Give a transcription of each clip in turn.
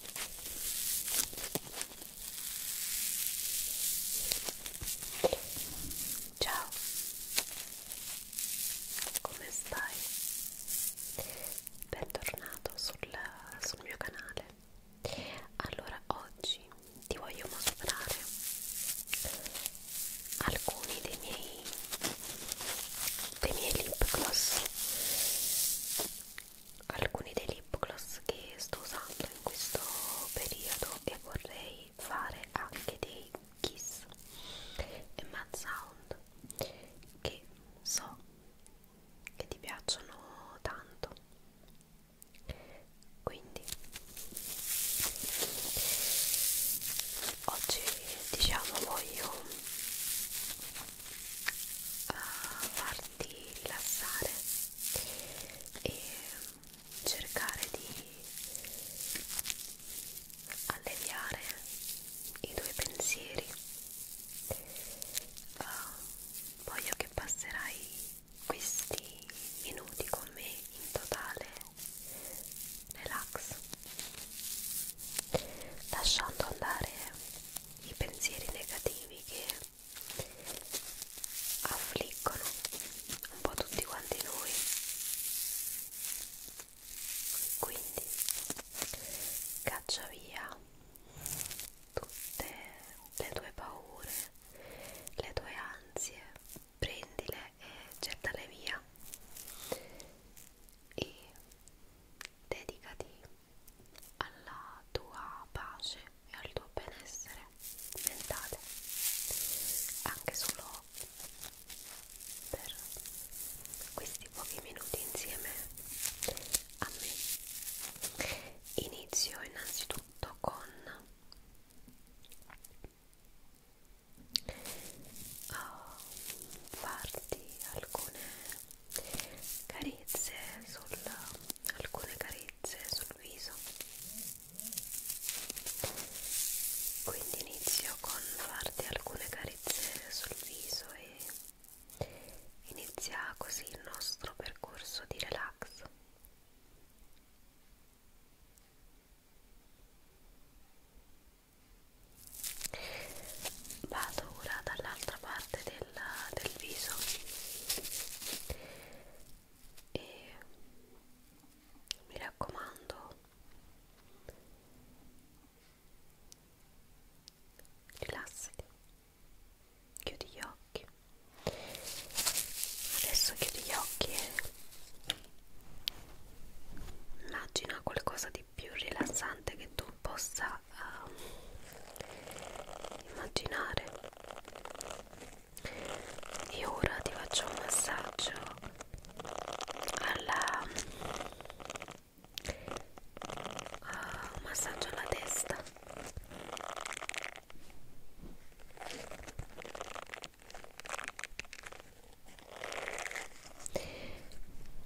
Ciao, come stai? Bentornato sul, sul mio canale. Allora, oggi ti voglio mostrare alcuni dei miei, dei miei lip gloss alcuni dei lip gloss che sto usando in questo periodo e vorrei fare anche dei kiss e mad sound che so che ti piacciono tanto quindi oggi diciamo voglio a farti rilassare e cercare di alleviare i tuoi pensieri uh, voglio che passerai questi minuti con me in totale relax lasciando andare i pensieri negativi che affliggono un po' tutti quanti noi quindi caccia via tutte le tue paure le tue ansie prendile e gettale via e dedicati alla tua pace e al tuo benessere mentale anche solo per questi pochi minuti insieme a me inizio innanzitutto con uh, farti alcune carezze sul alcune carezze sul viso quindi inizio con farti alcune carezze sul viso e inizia così il nostro percorso di relax vado ora dall'altra parte del, del viso e mi raccomando rilassati chiudi gli occhi adesso chiudi gli occhi e immagina qualcosa di più rilassante che tu possa a, a immaginare e ora ti faccio un massaggio alla uh, massaggio alla testa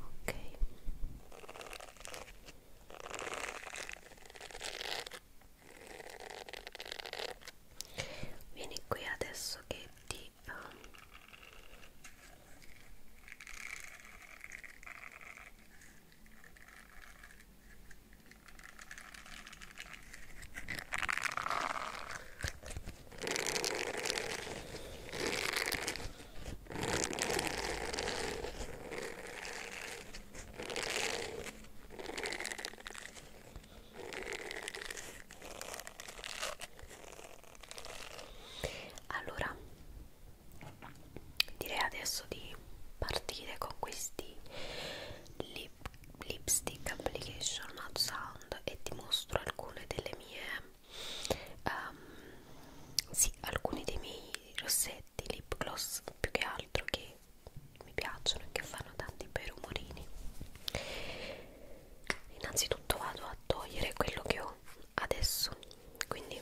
ok vieni qui adesso che ti um, allora, direi adesso di partire con questi lip, lipstick application mouth sound e ti mostro alcune delle mie um, sì, alcuni dei miei rossetti lip gloss più che altro che mi piacciono e che fanno tanti bei rumorini innanzitutto vado a togliere quello che ho adesso quindi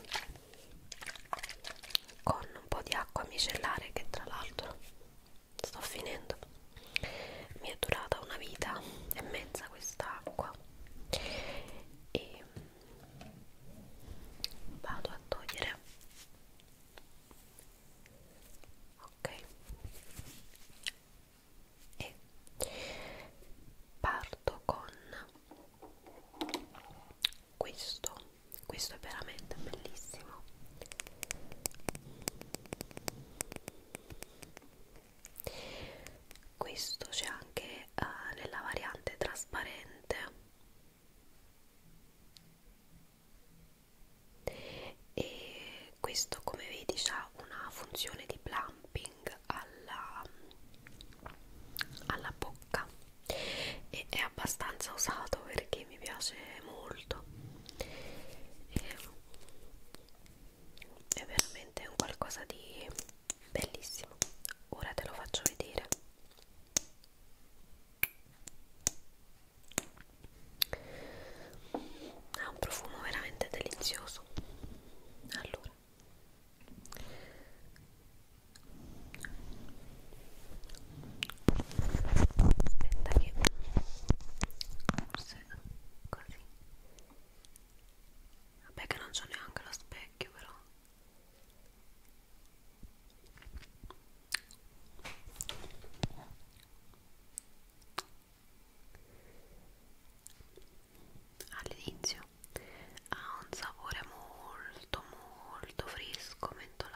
con un po' di acqua micellare che tra l'altro sto finendo mi è durata una vita e mezza questa acqua e vado a togliere ok e parto con questo questo è veramente bellissimo questo c'è anche uh, nella variante trasparente e questo come vedi ha una funzione di plumping alla, alla bocca e è abbastanza usato perché mi piace molto e, è veramente veramente un qualcosa di bellissimo ora te lo faccio vedere ha un profumo veramente delizioso allora aspetta che forse così Vabbè che non c'ho neanche lo specchio però all'inizio ha un sapore molto molto fresco mentolato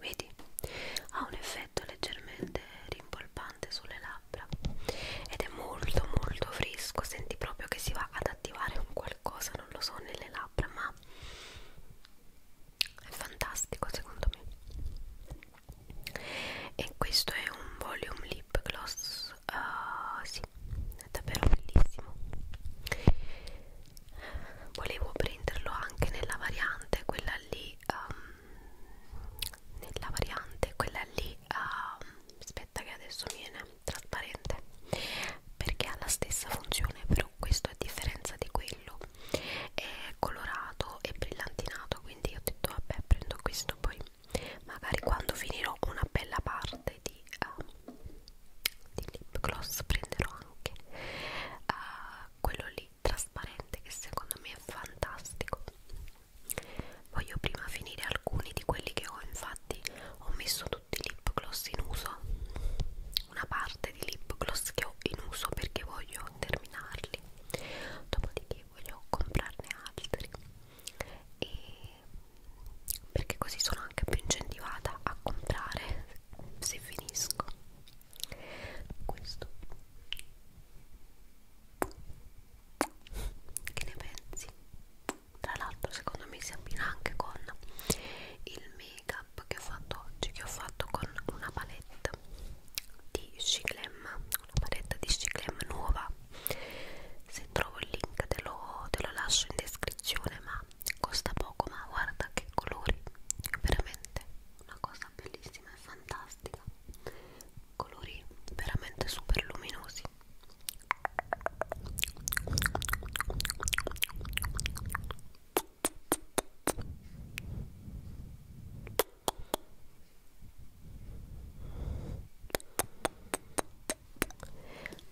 Vedi? Ha un effetto leggermente rimpolpante sulle labbra ed è molto molto fresco, senti proprio che si va ad attivare un qualcosa, non lo so, nelle labbra, ma è fantastico secondo me. E questo è un volume lip gloss, uh, sì, è davvero bellissimo volevo prenderlo anche nella variante quella lì um, nella variante quella lì uh, aspetta che adesso viene trasparente perché ha la stessa funzione però questo a differenza di quello è colorato e brillantinato quindi ho detto vabbè prendo questo poi magari quando finirò una bella parte parte di, uh, di lip gloss prenderò anche uh, quello lì trasparente che secondo me è fantastico voglio prima finire alcuni di quelli che ho infatti ho messo tutti i lip gloss in uso una parte di lip gloss che ho in uso perché voglio terminarli dopodiché voglio comprarne altri e perché così sono anche più incentivata a comprare se finisco questo che ne pensi? tra l'altro secondo me si abbina anche con il make up che ho fatto oggi che ho fatto con una palette di Shiglam una palette di Shiglam nuova se trovo il link te lo, te lo lascio in descrizione ma costa poco ma guarda che colori veramente una cosa bellissima e fantastica colori veramente super luminosi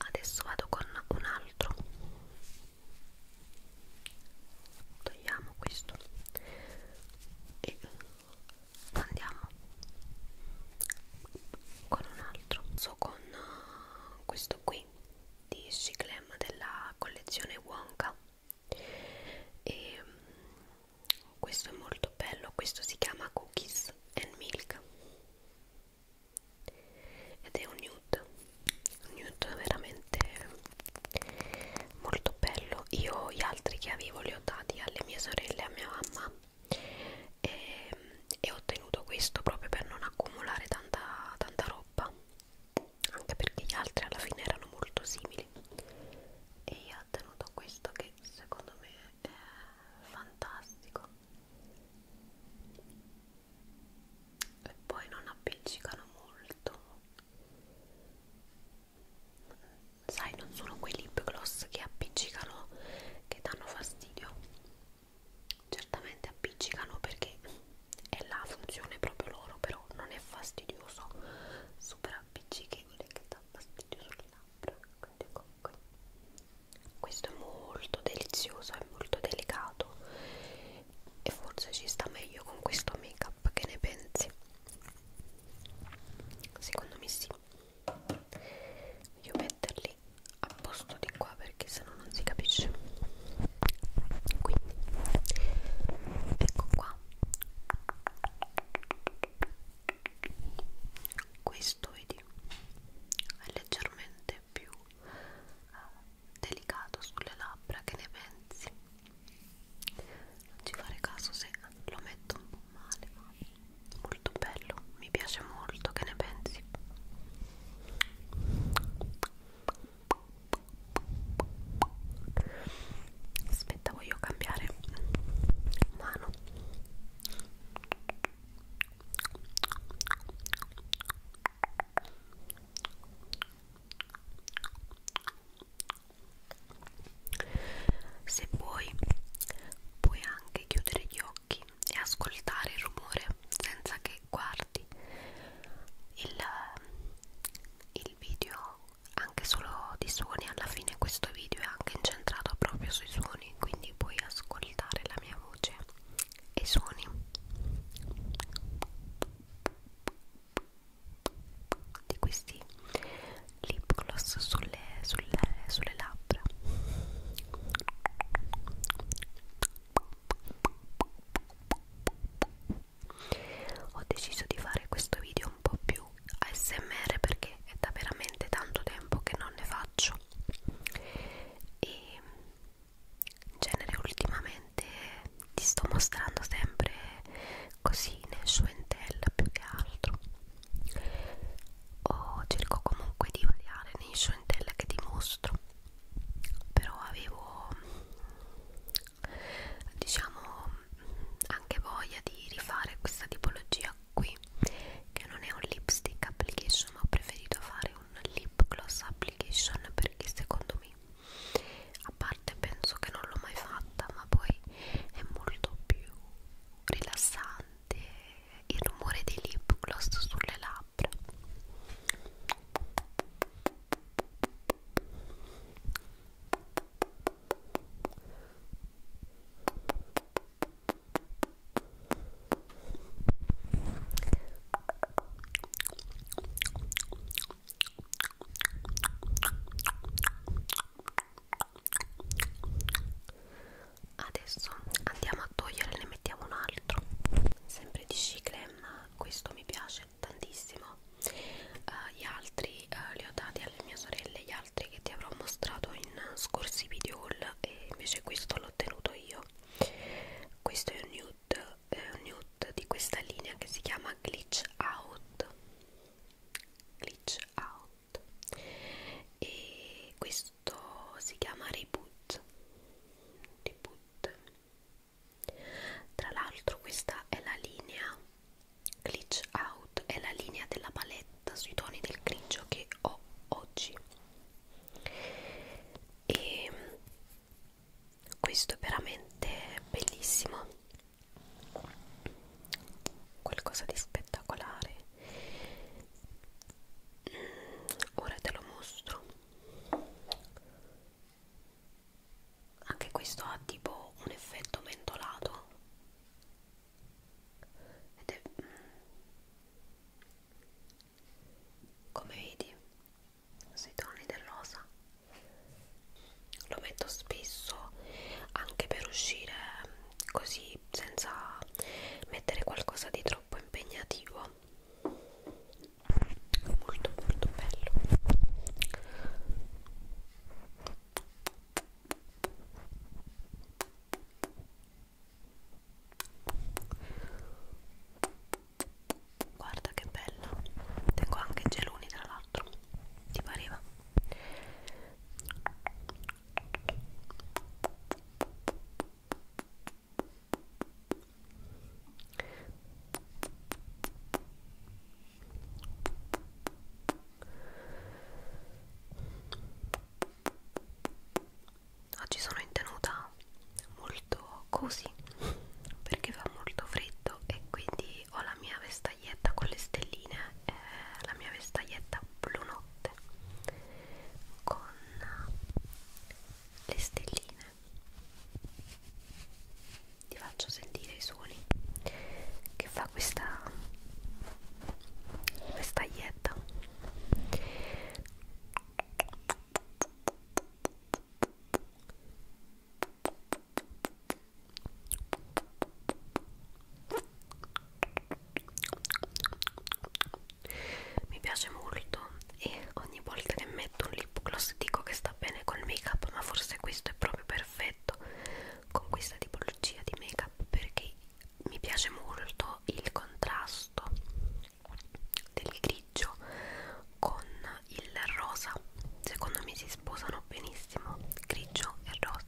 adesso vado con un altro togliamo questo e andiamo con un altro so con uh, questo qui di Ciclem della collezione Wonka e mm, questo è molto bello questo si chiama Cookies and Milk ed è un nude un nude veramente molto bello io gli altri che avevo li ho dati alle mie sorelle e a mia mamma e, e ho ottenuto questo proprio per non accumulare tanta, tanta roba anche perché gli altri alla fine erano molto simili e io ho ottenuto questo che secondo me è fantastico e poi non appiccicano molto sai non sono quei lip gloss che appiccicano che danno fastidio certamente appiccicano perché è la funzione proprio loro però non è fastidioso super appiccicevole che dà fastidio sulle labbra quindi comunque questo è molto delizioso è molto delicato e forse ci sta meglio con questo make up che ne pensi secondo me sì voglio metterli a posto di qua perché sennò non si capisce quindi ecco qua questo cristoidi è leggermente più eh, delicato sulle labbra che ne pensi non ci fare caso se lo metto un po' male ma molto bello mi piace molto che ne pensi aspetta voglio cambiare mano se vuoi, puoi anche chiudere gli occhi e ascoltare il rumore senza che guardi il, il video anche solo di suoni. Alla fine questo video è anche incentrato proprio sui suoni suoni quindi puoi ascoltare la mia voce e i suoni di questi lip gloss sulle, sulle, sulle labbra ho deciso di fare questo video un po' più ASMR perché è da veramente tanto tempo che non ne faccio e in genere ultimamente ti sto mostrando sempre cosine su Intel più che altro o cerco comunque di variare nei su Intel che ti mostro però avevo diciamo anche voglia di rifare questa tipologia qui che non è un lipstick application ma ho preferito fare un lip gloss application perché secondo me a parte penso che non l'ho mai fatta ma poi è molto più rilassante il rumore dei lip gloss sulle labbra Adesso andiamo a togliere, ne mettiamo un altro, sempre di Shicrem, questo mi piace tantissimo. Uh, gli altri uh, li ho dati alle mie sorelle, gli altri altri che ti avrò mostrato in scorsi video haul e invece questo l'ho ottenuto io questo è un nude, è un nude di questa linea che si chiama glitch out glitch out e questo si chiama reboot reboot tra l'altro questa è la linea Glitch Out è la linea della paletta sui toni del grigio che ho oggi e mm, questo è veramente bellissimo qualcosa di spettacolare mm, ora te lo mostro anche questo ha tipo un effetto mentolato ed è come vedi sui toni dell'osa lo metto spesso anche per uscire così senza mettere qualcosa di troppo impegnativo molto molto bello Guarda che bello. Tengo anche i geloni tra l'altro. Ti pareva? Oggi sono in tenuta molto così perché fa molto freddo e quindi ho la mia vestaglietta con le stelline, eh, la mia vestaglietta blu notte con le stelline ti faccio sentire i suoni che fa questa questa ietta mi piace molto e ogni volta che metto un lip gloss dico che sta bene col make up ma forse questo è proprio perfetto con questa tipologia di make up perché mi piace molto il contrasto del grigio con il rosa secondo me si sposano benissimo grigio e rosa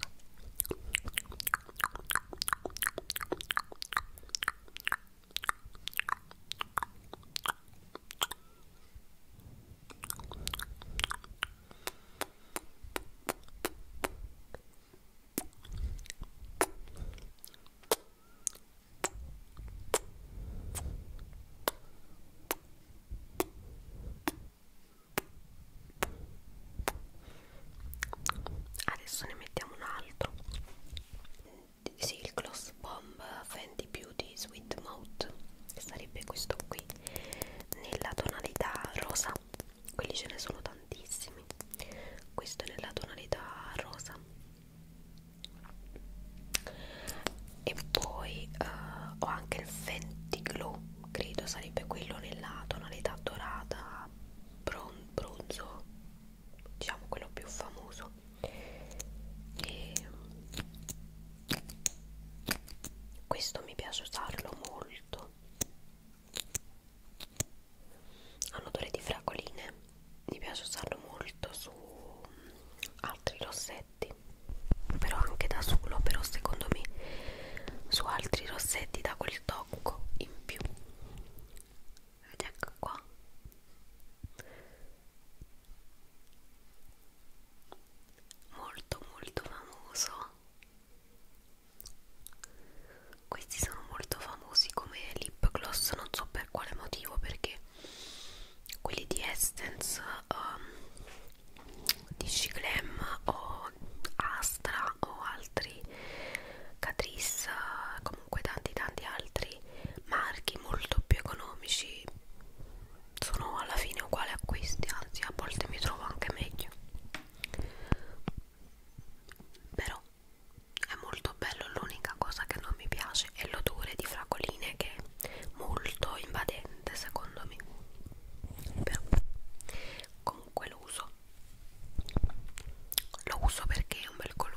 Adesso ne mettiamo un altro. Sì, il Gloss Bomb Fenty Beauty Sweet Mouth. Sarebbe questo qui nella tonalità rosa quelli ce ne sono tantissimi questo è nella tonalità rosa e poi uh, ho anche il Fenty Glow credo sarebbe quello nella tonalità dorata bron bronzo diciamo quello più famoso e questo mi piace usarlo molto ha un odore di fragoline mi piace usarlo molto su mm, altri rossetti però anche da solo però secondo me su altri rossetti da quel tocco in più ed ecco qua molto molto famoso questi sono molto famosi come lip gloss non so per quale motivo perché quelli di Essence um, di Shiglam o Astra o altri Catrice comunque tanti tanti altri marchi molto più economici sono alla fine uguali a questi anzi a volte mi trovo anche meglio però è molto bello l'unica cosa che non mi piace è l'odore di fragoline che è molto invadente secondo me però comunque lo uso lo uso perché è un bel colore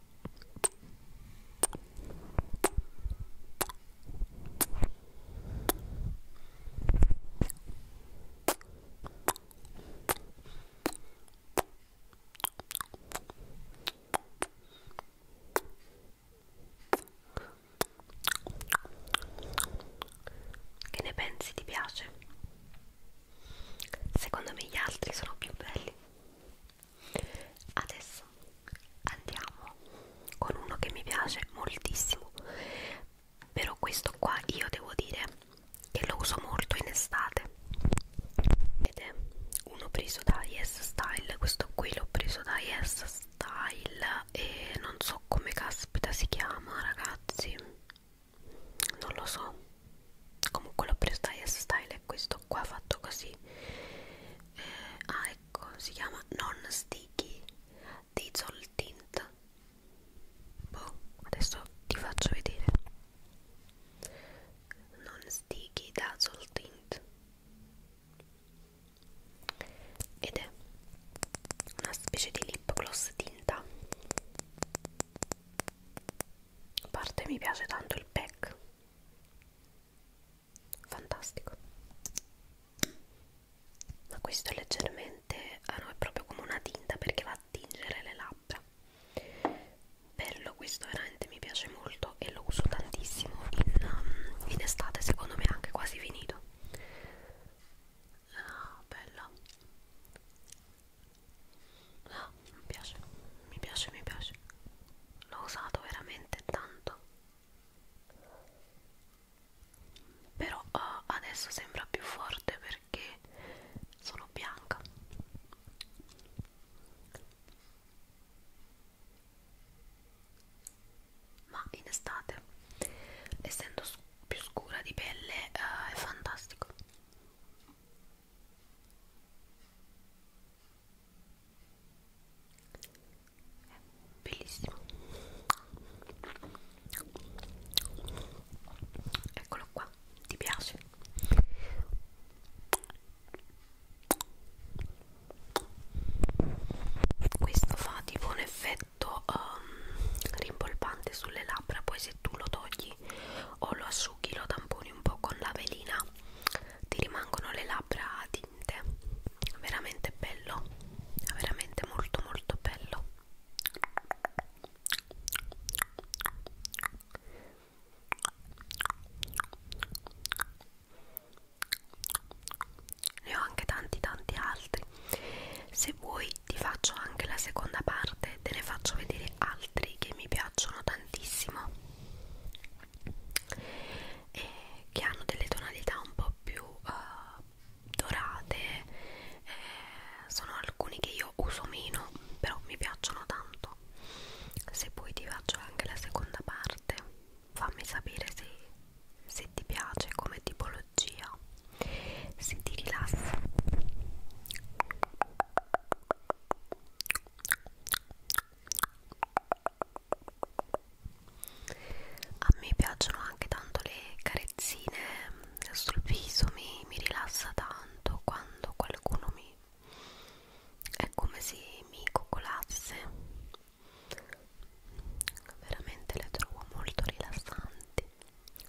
Che ne pensi? Ti piace? Secondo me gli altri sono più belli. Adesso andiamo con uno che mi piace moltissimo. Però questo qua io devo dire che lo uso molto in estate. Ed è uno preso da Yes Style. Questo qui l'ho preso da Yes Style e non so come caspita si chiama, ragazzi non lo so comunque l'ho preso da yes style e questo qua fatto così eh, ah ecco si chiama non sticky diesel tint boh adesso ti faccio vedere non sticky diesel tint ed è una specie di lip gloss tinta a parte mi piace tanto il pack fantastico ma questo è leggermente ah no è proprio come una tinta perché va a tingere le labbra bello questo veramente mi piace molto e lo uso tantissimo in, um, in estate secondo me è anche quasi finito ah bello Ah, mi piace, mi piace, mi piace. L'ho usato veramente tanto. Però uh, adesso sembra più forte perché sono bianca. Ma in estate, essendo più scura di pelle, uh, è fantastico è bellissimo eccolo qua ti piace questo fa tipo un effetto um, ehm, rimpolpante sulle labbra poi se tu lo togli o lo asciughi, lo tamponi un po' con la velina, ti rimangono le labbra tinte. Veramente bello, veramente molto molto bello. Ne ho anche tanti tanti altri. Se vuoi ti faccio anche la seconda parte te ne faccio vedere altri che mi piacciono tantissimo e che hanno delle tonalità un po' più uh, dorate eh, sono alcuni che io uso meno però mi piacciono tanto se poi ti faccio anche la seconda parte fammi sapere se, se ti piace come tipologia psicologia se ti rilassa a me piacciono anche tanto le carezzine sul viso mi, mi rilassa tanto quando qualcuno mi è come se mi coccolasse veramente le trovo molto rilassanti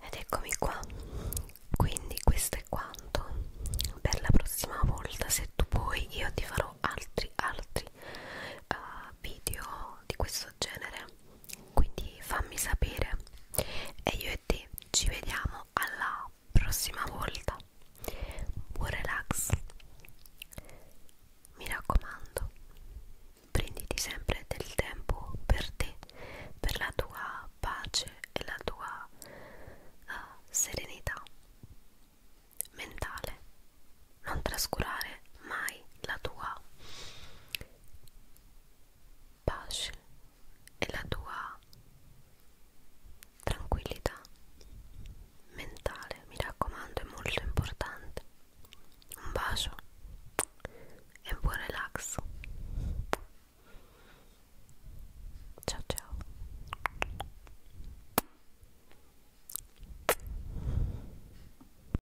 Ed eccomi qua, quindi questo è quanto. Per la prossima volta, se tu puoi, io ti farò altri altri uh, video di questo genere quindi fammi sapere e io e te ci vediamo alla prossima volta buon relax mi raccomando prenditi sempre del tempo per te per la tua pace e la tua uh, serenità mentale non trascurare mai la tua pace e la tua tranquillità mentale mi raccomando è molto importante un bacio e un buon relax ciao ciao